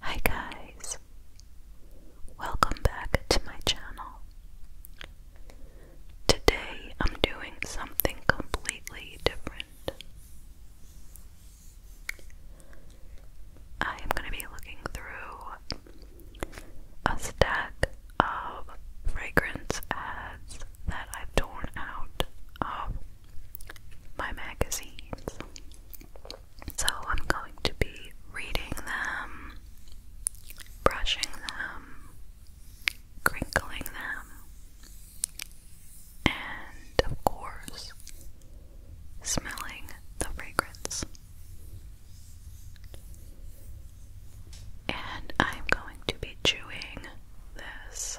Hi guys, welcome back to my channel. Today I'm doing something completely different. I am going to be looking through a stack of fragrance ads that i torn out of my magazines. So I'm going to be reading them, brushing them, crinkling them, and of course, smelling the fragrance. And I'm going to be chewing this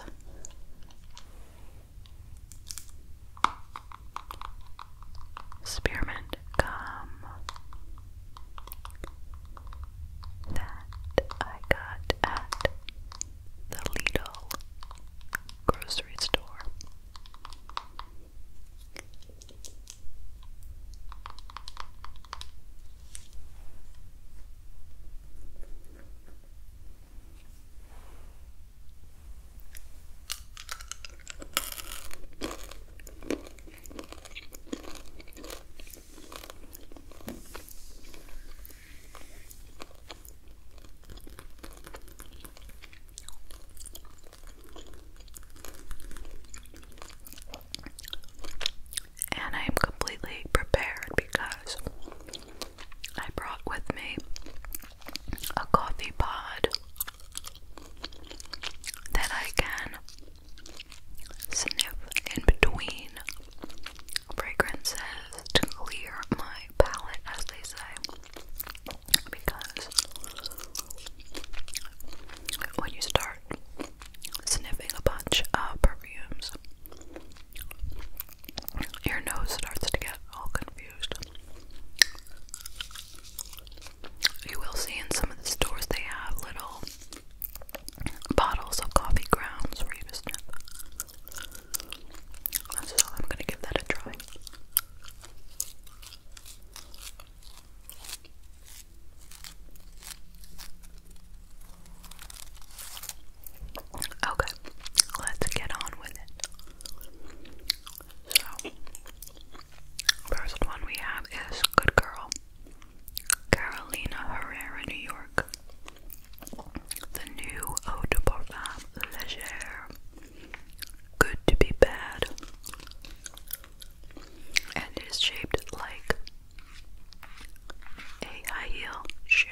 spearmint gum that I got at the Lidl grocery store. And I am completely prepared because I brought with me a coffee pod that I can sniff in between fragrances to clear my palate, as they say, because when you start sniffing a bunch of perfumes, your nose starts to get all confused. You will see in some of the stores they have little bottles of coffee grounds for you to sniff. So I'm gonna give that a try. Okay, let's get on with it. So, first one we have is Good Girl, Carolina Herrera, New York. The new Eau de Parfum Légère, Good to be Bad, and it is shaped like a high heel shoe.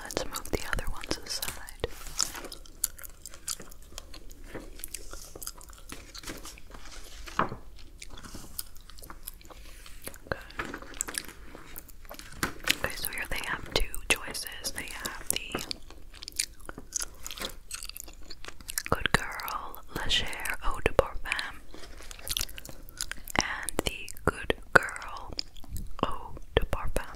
Let's move the other ones aside. Okay. so here they have two choices. They have the Good Girl Légère Eau de Parfum and the Good Girl Eau de Parfum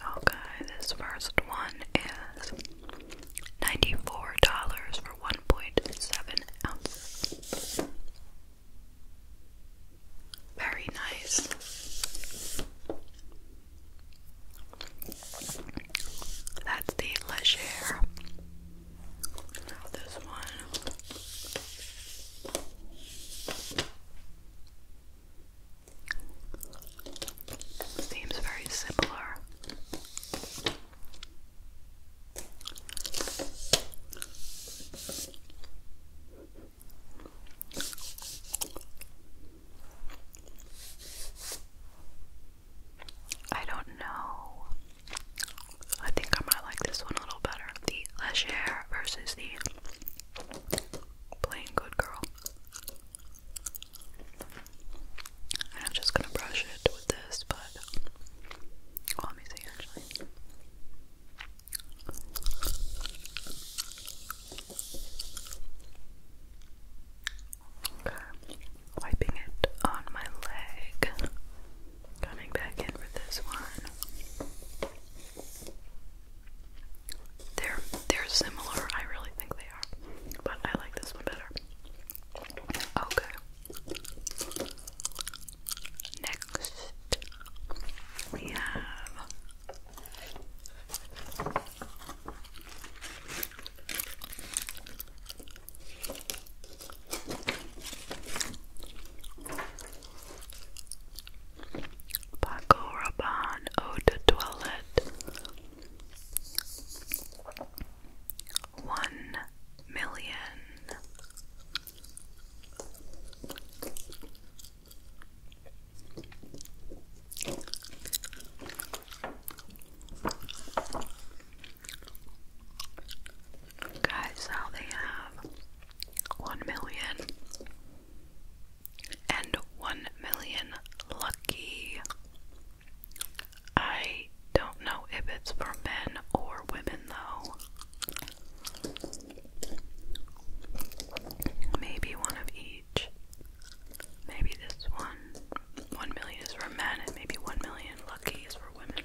Okay, this first one is ninety-four dollars for one point seven ounces. Very nice. That's the Leger this one seems very similar. I don't know. I think I might like this one a little better. The Legere versus the Plain Good Girl. And I'm just gonna brush it with this, but well, let me see actually. Okay, wiping it on my leg. Coming back in with this one. They're they're similar. I really think they are, but I like this one better. Okay. Next, we have Paco Rabanne Eau one million. Guys, now they have 1 million and 1 million lucky. I don't know if it's for men or women though. Maybe one of each. Maybe this one. 1 million is for men and maybe 1 million lucky is for women.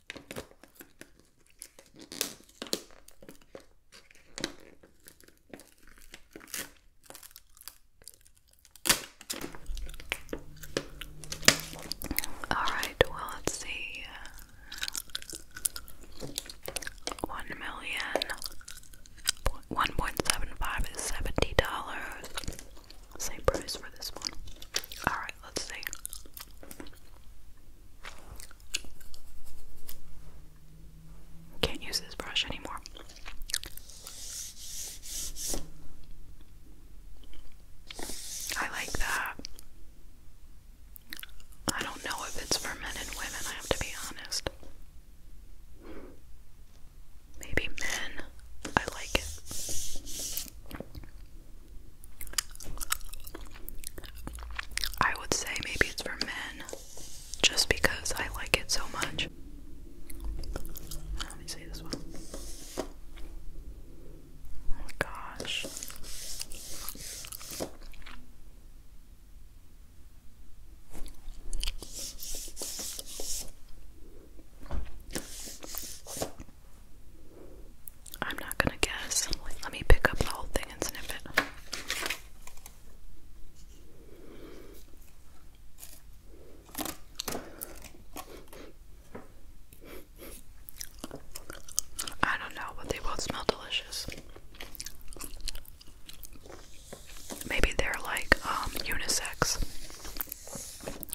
All right, well, let's see. One million one point seven five is seventy dollars. Same price for this one. All right, let's see. Can't use this brush anymore. I like that. I don't know if it's for men and women, I have to be honest. Maybe men. I like it. I would say maybe it's for men just because I like it so much. Let me see this one. Oh my gosh. I'm not gonna guess. Let me pick up the whole thing and sniff it. I don't know, but they both smell delicious. Maybe they're like um, unisex,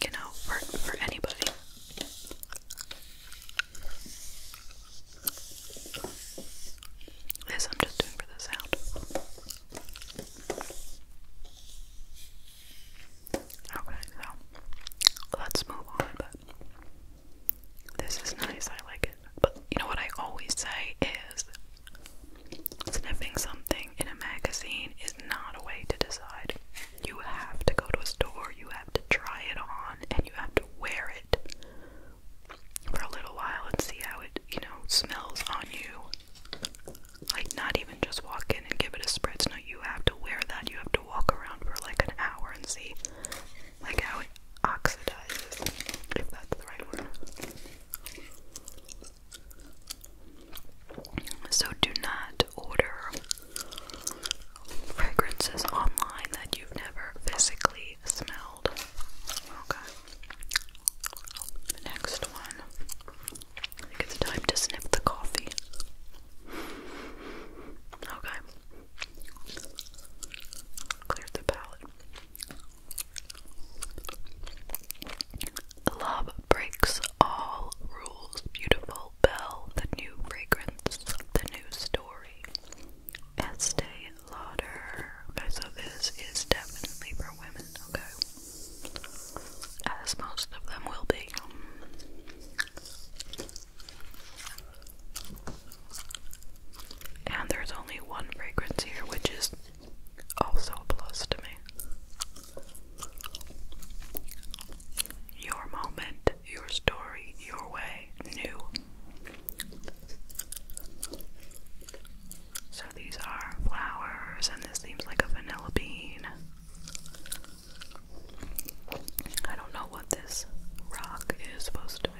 you know, for, for anybody. This I'm just doing for the sound. Okay, so let's move on. But this is nice, I like it. But you know what I always say is sniffing something in a magazine is not a way to decide. You have to go to a store, you have to try it on, and you have to wear it for a little while and see how it, you know, smells on you. Like, not even just walk in and give it a spritz. No, you have to wear that. You have to walk around for like an hour and see, like, how it oxidizes, if that's the right word. So, do not order fragrances online that you've never physically smelled. Okay. next one. I think it's time to snip the coffee. Okay. Clear the palette. Love breaks all rules. Beautiful Bell, the new fragrance, the new store Estee Lauder. Okay, so this is definitely for women, okay? As most of them will be. And there's only one fragrance here, which is also a plus to me. Your moment your story your way new. So these are flowers, and this seems like a vanilla bean. I don't know what this rock is supposed to be.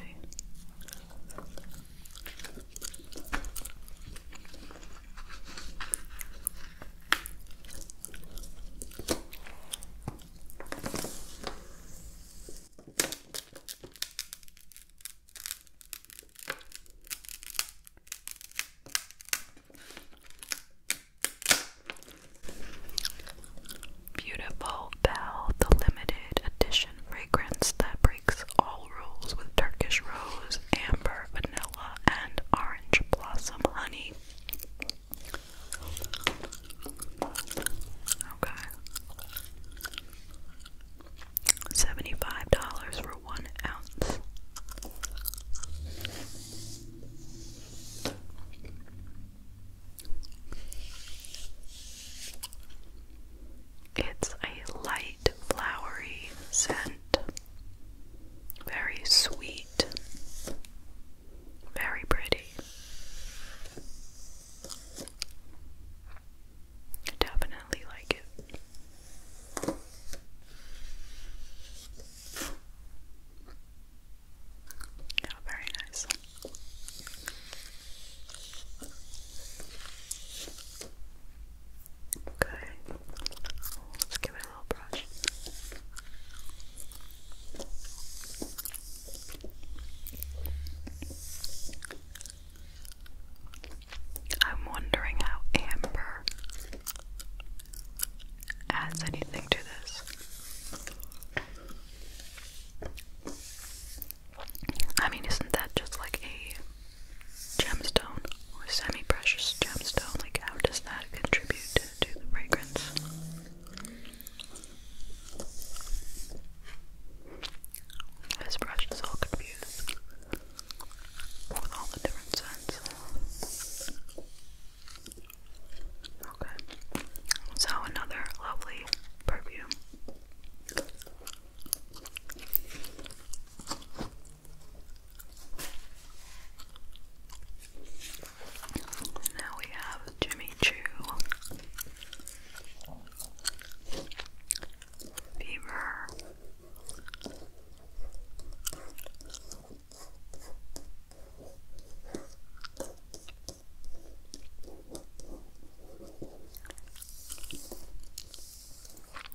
Beautiful Bell, the limited edition fragrance that breaks all rules with Turkish rose, amber, vanilla, and orange blossom honey. Okay. Seventy-five dollars for one ounce. It's a light flowery scent, very sweet. Very pretty. definitely like it. Yeah, very nice. Okay, let's give it a little brush. I'm wondering how amber adds anything to this. I mean, isn't that just like a gemstone or semi precious gemstone? Like, how does that contribute to, to the fragrance? This brush is all confused with all the different scents. Okay, so another lovely perfume. Now we have Jimmy Choo Beaver.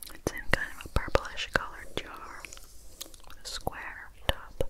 It's in kind of a purplish colored jar square top.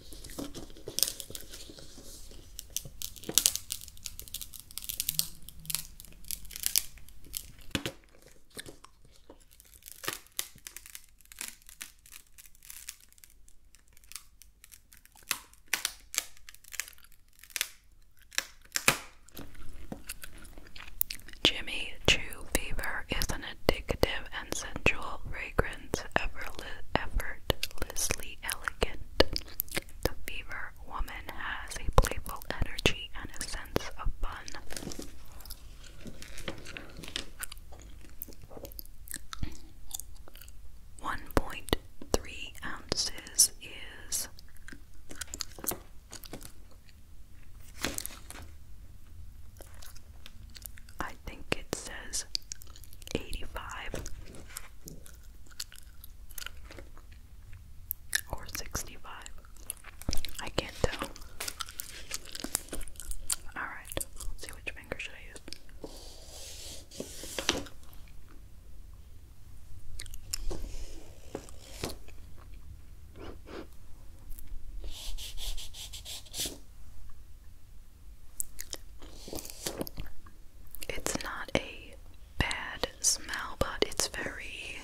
Jimmy chew Fever is an addictive and sensual fragrance effortlessly elegant. The fever woman has a playful energy and a sense of fun. One point three ounces is I think it says 85 or 65. I can't tell. Alright, see which finger should I use. It's not a bad smell, but it's very.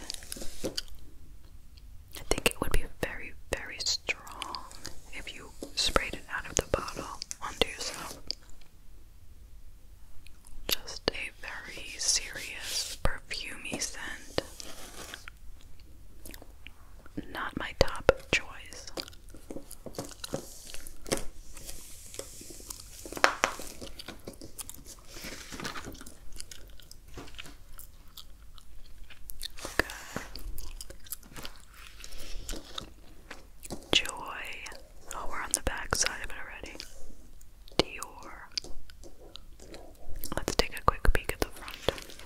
I think it would be very, very strong if you sprayed it out of the bottle onto yourself. Just a very serious perfumey scent. Not my top choice. Good. Joy. Oh, we're on the back side already. Dior. Let's take a quick peek at the front.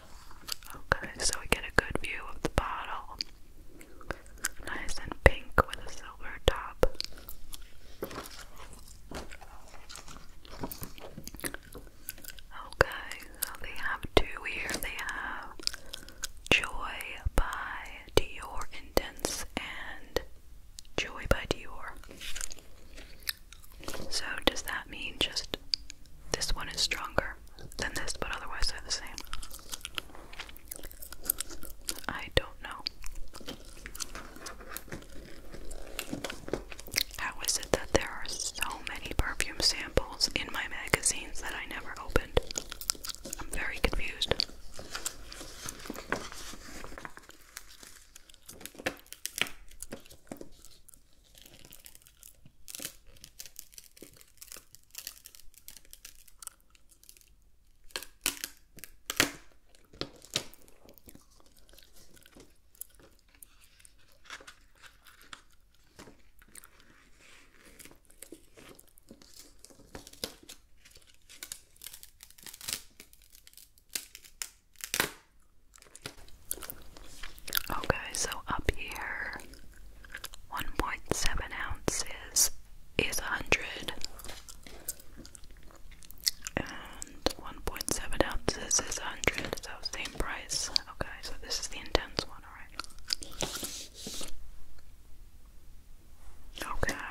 Okay, so we get a good view of the bottle. Nice and pink with a silver top. Okay, so they have two here. They have Joy by Dior Intense and Joy by Dior. So, does that mean just this one is stronger? than this, but otherwise they're the same. I don't know. How is it that there are so many perfume samples in my magazines that I never opened? I'm very confused. Okay, so up here 1.7 ounces is 100 and 1.7 ounces is 100 so same price okay so this is the intense one alright okay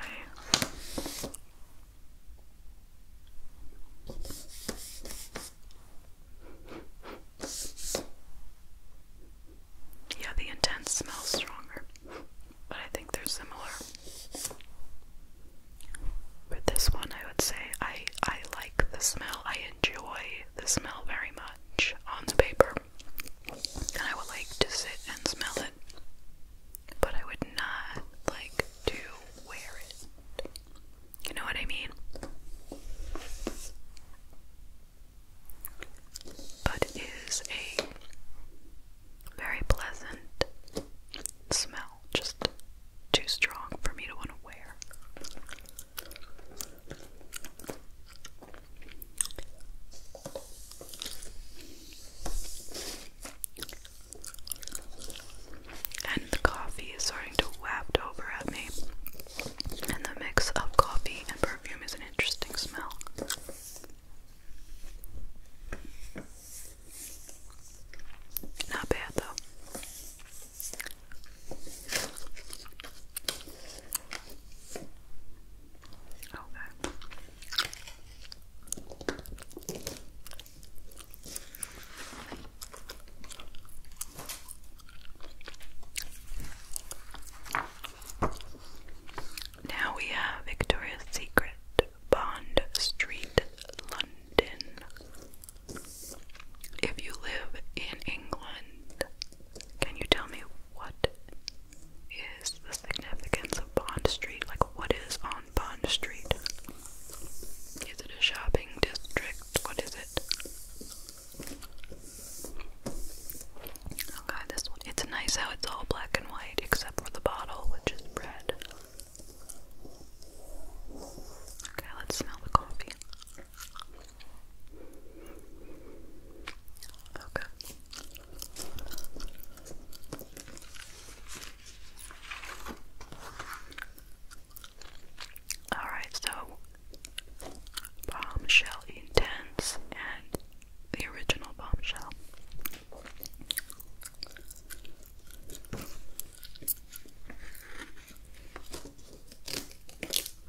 yeah, the intense smells stronger, but I think they're similar. For this one, I would say I I like the smell. I enjoy the smell very much on the paper, and I would like to sit and smell it. But I would not like to wear it. You know what I mean? but it is a very pleasant smell, just too strong for me to want to wear. And the coffee is starting to waft over at me and the mix of coffee and perfume is an interesting smell. Not bad though. Okay. Now we have Victoria's Secret, Bond Street, London. If you live in England, can you tell me what is the significance of Bond Street? Like, what is on Bond Street? Is it a shopping district? What is it? Okay, oh this one. It's nice how it's all black and white except for the bottle, which is red. Okay, let's smell the coffee. Okay. Alright, so Bombshell Intense and the original Bombshell.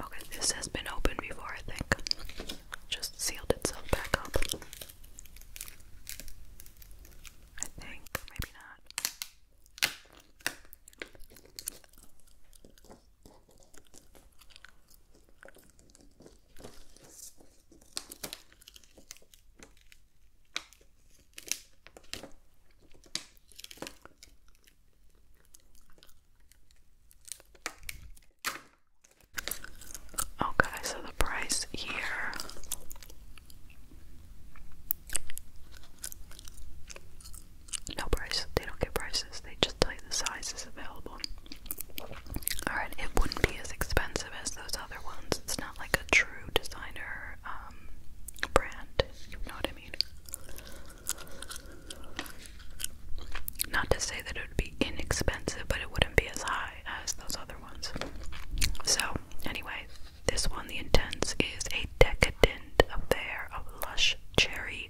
Okay, this has been open before, I think. Just sealed itself back up. I think, maybe not. Okay, so the price here no price. They don't get prices. They just tell you the sizes available. Alright, it wouldn't be as expensive as those other ones. It's not like a true designer um, brand. You know what I mean? Not to say that it would be inexpensive, but it wouldn't be as high as those other ones. So, anyway, this one, the Intense, is a decadent affair of lush cherry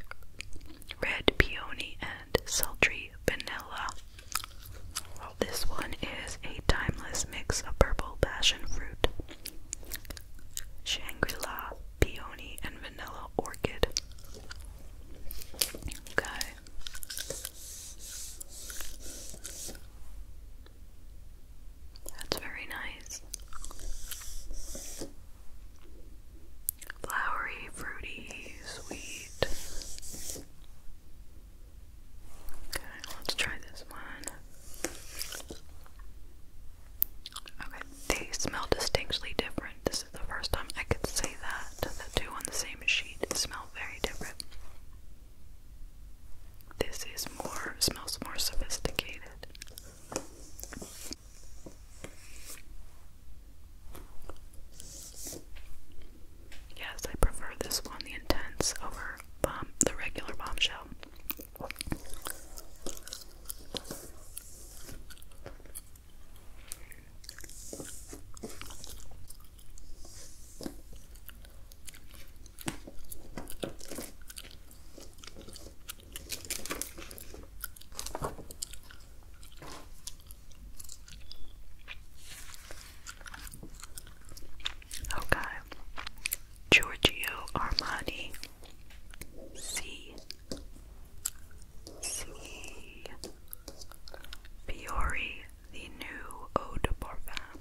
red peony, and sultry vanilla. this one is a timeless mix of purple passion fruit, Shangri-La, peony, and vanilla orchid. Okay. That's very nice flowery, fruity, sweet. Okay, let's try this one. Okay, they smell distinctly different. This is the first time I could say that. The two on the same sheet smell very different. This is more, smells more sophisticated. Yes, I prefer this one, the intense, over the regular bombshell. Okay. Giorgio Armani. C. C. Fiori, the new Eau de Parfum.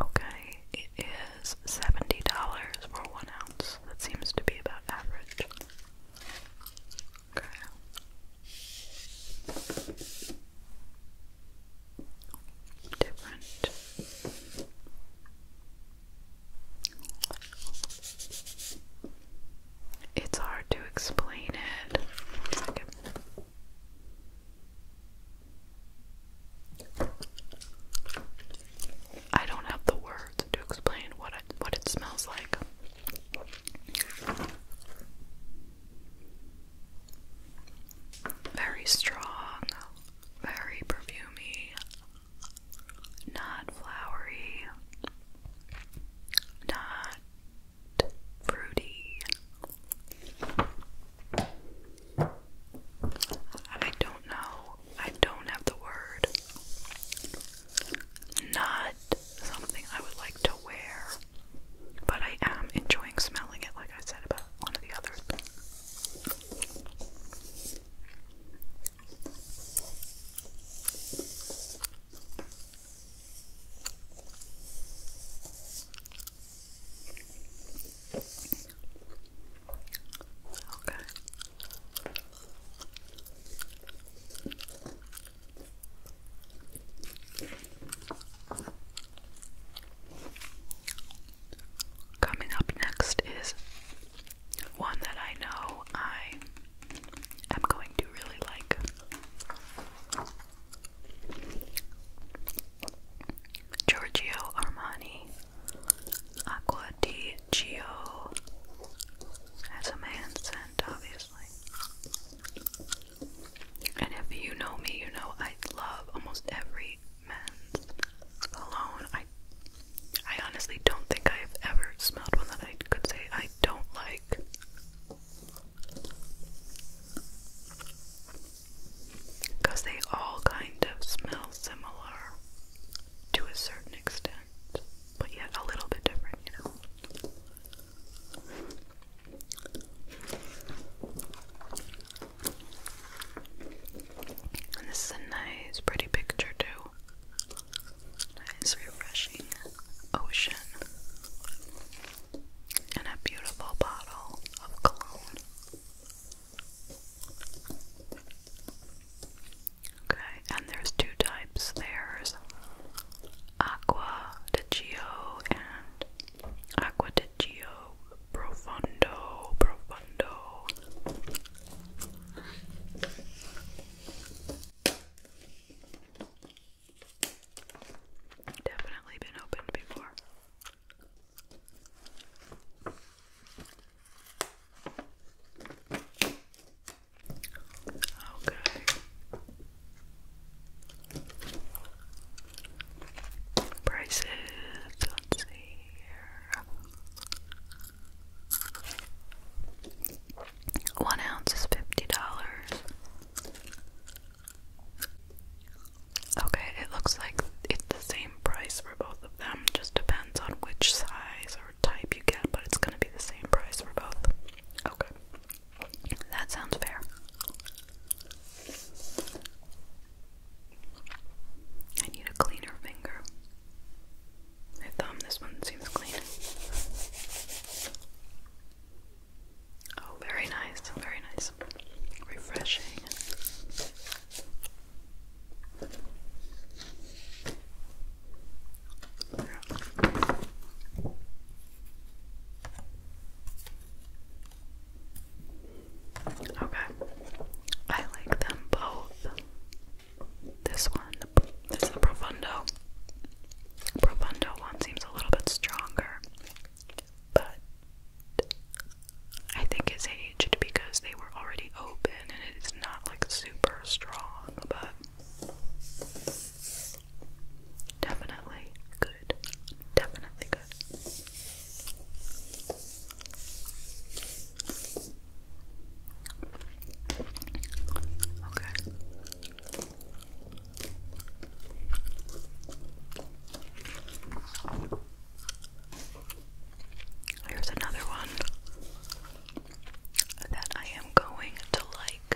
Okay, it is $70 for one ounce. That seems to be about average. Okay different. It's hard to explain it. I don't have the words to explain what it, what it smells like. Very strong, very perfumey, not flowery, not fruity. I don't know. I don't have the word. Not something I would like to wear, but I am enjoying smelling it, like I said about one of the other. Okay. Coming up next is one that I know I am going to really like. Giorgio Armani Acqua di as a man scent, obviously. And if you know me, you know I love almost every men's cologne. I I honestly don't think I've ever smelled one that I could say I don't like. Because they all kind of smell similar to a certain extent, but yet a little bit different, you know. And this is a nice, pretty picture, too. Nice, refreshing ocean. And a beautiful bottle of cologne. Okay, and there's two types there's aqua de Gio and aqua de Gio Profundo, profundo. Definitely been opened before. Okay. Prices one ounce is fifty dollars. Okay, it looks like it's the same price for both of them. Just depends on which size or type you get, but it's gonna be the same price for both. Okay, that sounds fair. I need a cleaner finger. My thumb, this one seems clean. Oh, very nice, very nice. Refreshing. Okay. I like them both. This one, this is the Profundo. one seems a little bit stronger, but I think it's aged because they were already open and it's not like super strong, but definitely good. Definitely good. Okay. Here's another one that I am going to like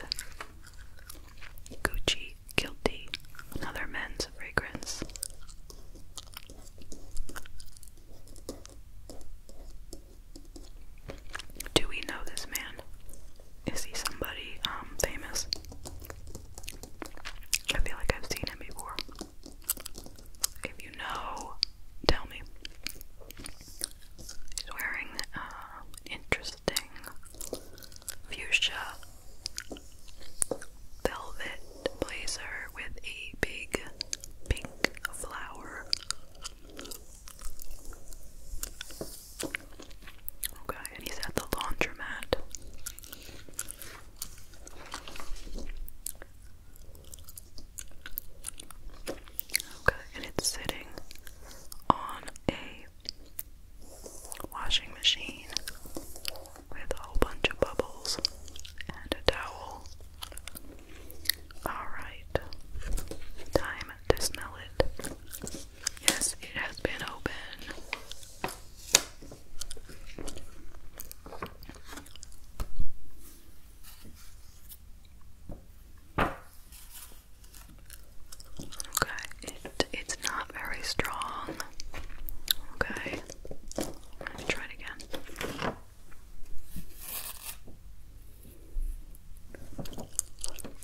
Gucci Guilty, another men's fragrance. Do we know this man? Is he somebody um, famous? I feel like I've seen him before. If you know, tell me. He's wearing an uh, interesting fuchsia velvet blazer with a big pink flower. Okay, and he's at the laundromat. Okay, and it's sitting on a washing machine with a whole bunch of bubbles and a towel. Alright. Time to smell it. Yes, it has been open. Okay, it, it's not very strong. Okay, try again.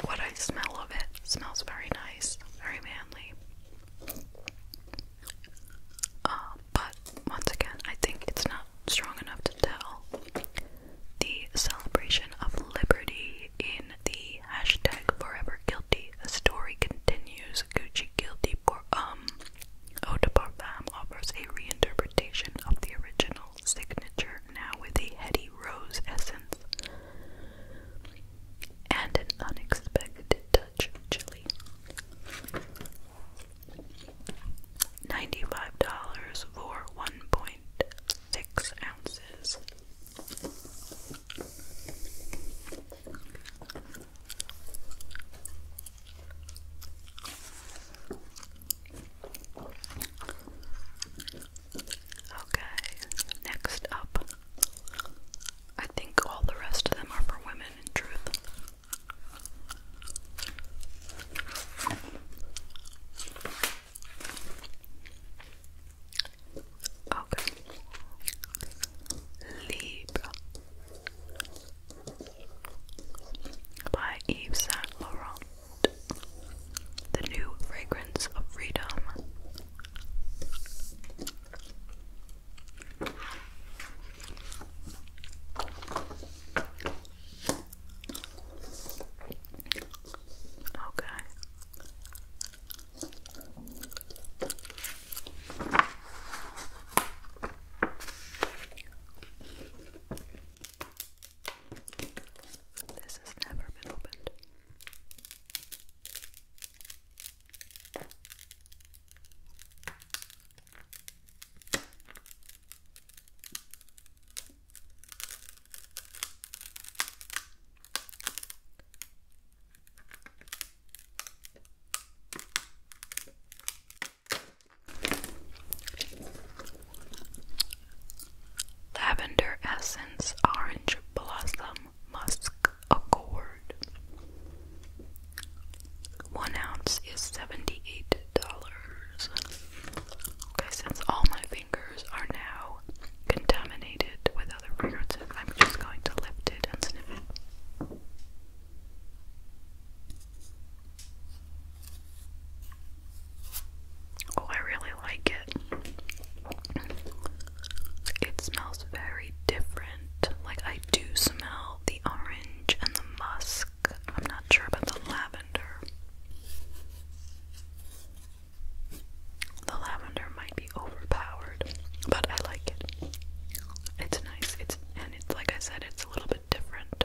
What I smell of it smells very nice, very manly. Uh, but once again, I think it's not strong enough to tell the celebration of liberty in the hashtag forever guilty. story continues. Gucci guilty for um Eau de Parfum offers a reinterpretation of the original signature, now with a heady rose essence and an unexpected touch of chili. $95 for 1.6 ounces. Okay, next up. I think all the rest of them are for women in truth. Okay. Libra by Yves Saint Laurent. The new fragrance of freedom. Okay. This has never been opened. Lavender Essence Orange Blossom Musk Accord. One ounce is $78. Okay, since all my fingers are now contaminated with other fragrances, I'm just going to lift it and sniff it. Oh, I really like it. It smells very different. Like, I do smell the orange and the musk. I'm not sure about the lavender. The lavender might be overpowered, but I like it. It's nice. It's and it's like I said, it's a little bit different.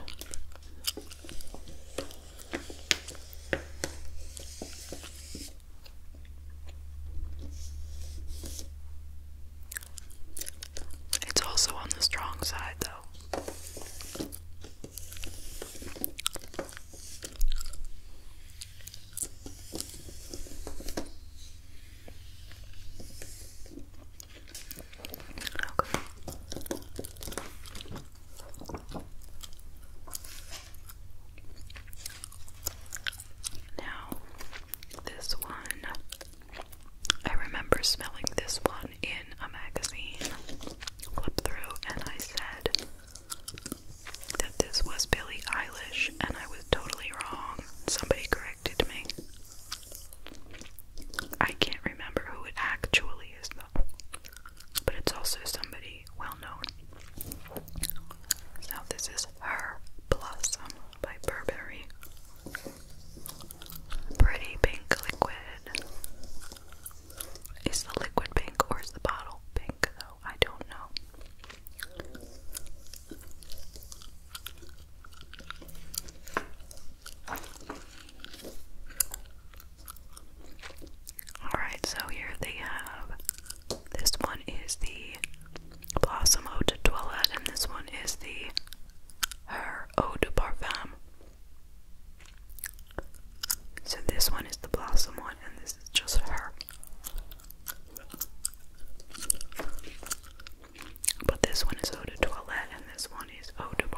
It's also on the strong side, though. Now, this one, I remember smelling this one in a magazine flip through, and I said that this was Billie Eilish, and I was totally wrong. Somebody corrected me. I can't remember who it actually is though, but it's also somebody well known. Now, this is Her Blossom by Burberry. Pretty pink liquid. Is the liquid pink or is the bottle pink though? I don't know. Alright, so here they have this one is the Blossom Eau de Toilette, and this one is the Her Eau de Parfum. So this one is the Blossom one, and this is just her. But this one is Eau de Toilette, and this one one is Eau de Parfum.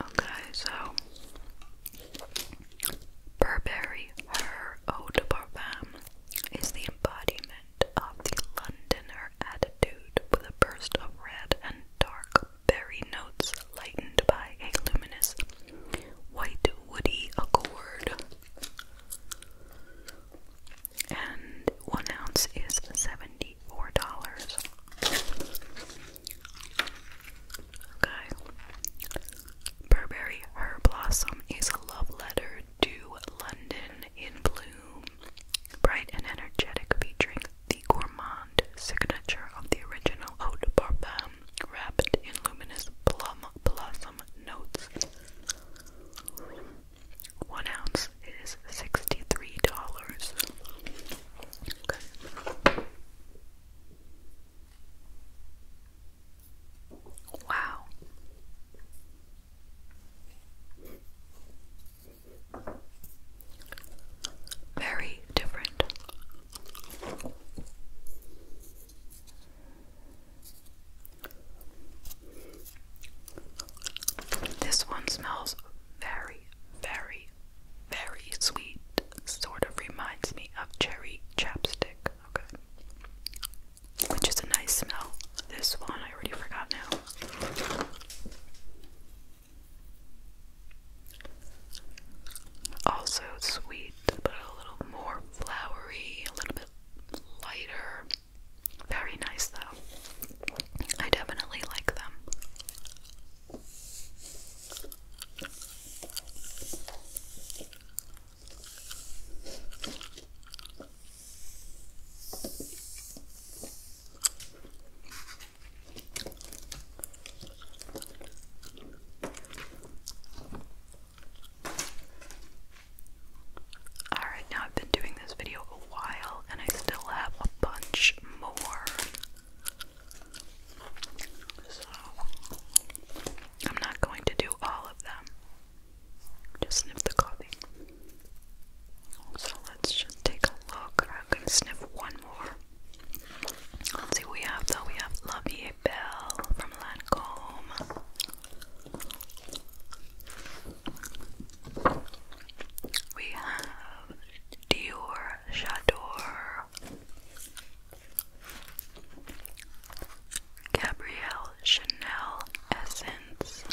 Okay, so Burberry Her Eau de Parfum is the embodiment of the Londoner attitude with a burst of red and dark berry notes lightened by a luminous white woody accord. And one ounce is seventy-four dollars. Okay. Burberry Her Blossom is a love letter to London in bloom. Bright and energetic, featuring the gourmand signature of the original Eau de Parfum, wrapped in luminous plum blossom notes. One ounce is sixty-three dollars. Wow. Very different. This one smells very, very, very sweet. Sort of reminds me of cherry chapstick. Okay. Which is a nice smell. This one I already forgot now. Also sweet, but a little more flowery, a little bit lighter. Very nice, though. I definitely like them. Alright, now I've been doing this video a while and I still have a bunch more. So, I'm not going to do all of them. Just sniff the coffee. So let's just take a look. I'm gonna sniff one more. Let's see what we have though. We have Lovey Bell from Lancome. We have Dior Chador, Gabrielle Chanel Essence,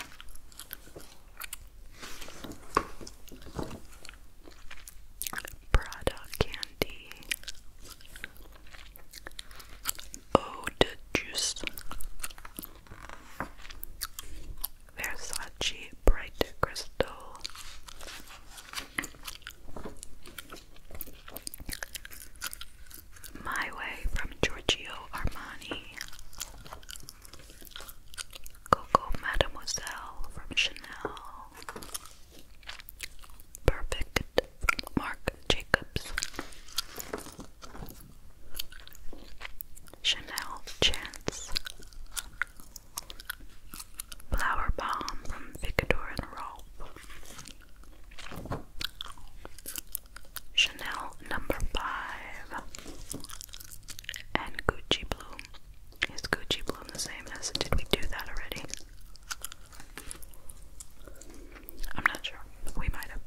Prada candy, Ode juice, Versace bright crystal. My Way from Giorgio Armani, Coco Mademoiselle from Chanel. Perfect from Marc Jacobs. Chanel Chance. Flower Bomb from Victor and Rolf. Chanel number five and Gucci Bloom. Is Gucci Bloom the same as did we do that already? I'm not sure. We might have.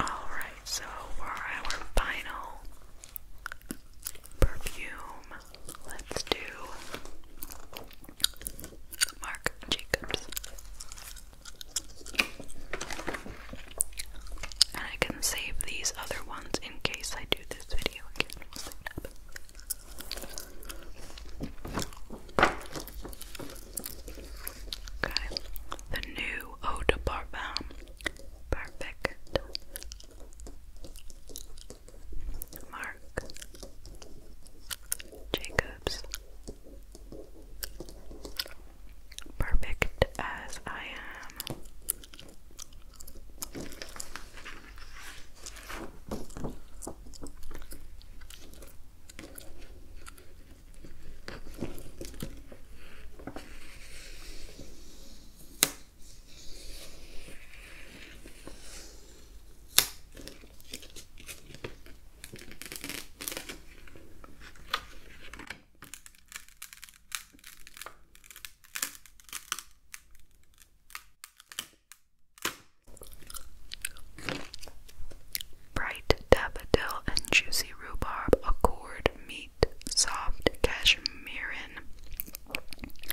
Alright, so for our final perfume, let's do Marc Jacobs. And I can save these other ones in case I do this video again. Okay. The new Eau Parfum. Perfect. Mark. Jacobs perfect as I am. Bright daffodil and juicy rhubarb accord meet soft cashmerean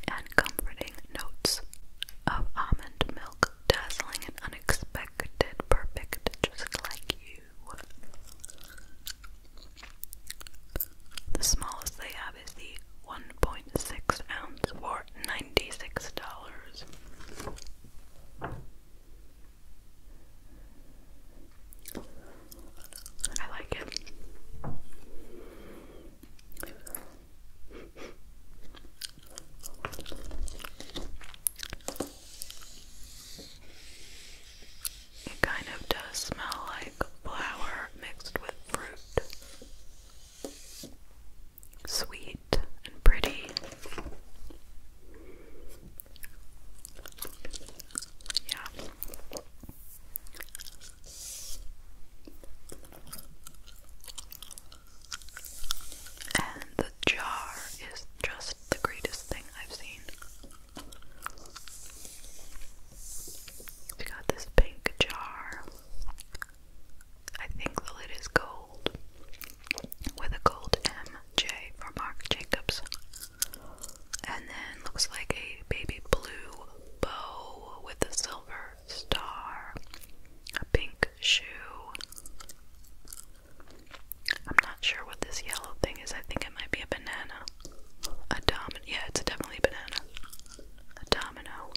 and comforting notes of almond milk, dazzling and unexpected, perfect, just like you. The smallest they have is the 1.6 ounce for $96. I like it. It kind of does smell like flour mixed with fruit. Sweet and pretty. Yeah. And the jar is just the greatest thing I've seen. We got this pink jar. I think the lid is gold with a gold MJ for Marc Jacobs. And then looks like a baby blue bow with a silver star, a pink shoe. I'm not sure what this yellow thing is. I think it might be a banana. A domino. Yeah, it's definitely banana. A domino.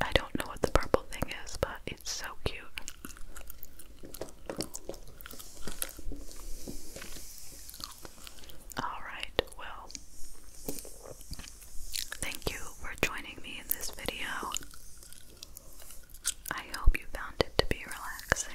I don't know what the purple thing is, but it's so cute. Alright, well, thank you for joining me in this video. I hope you found it to be relaxing.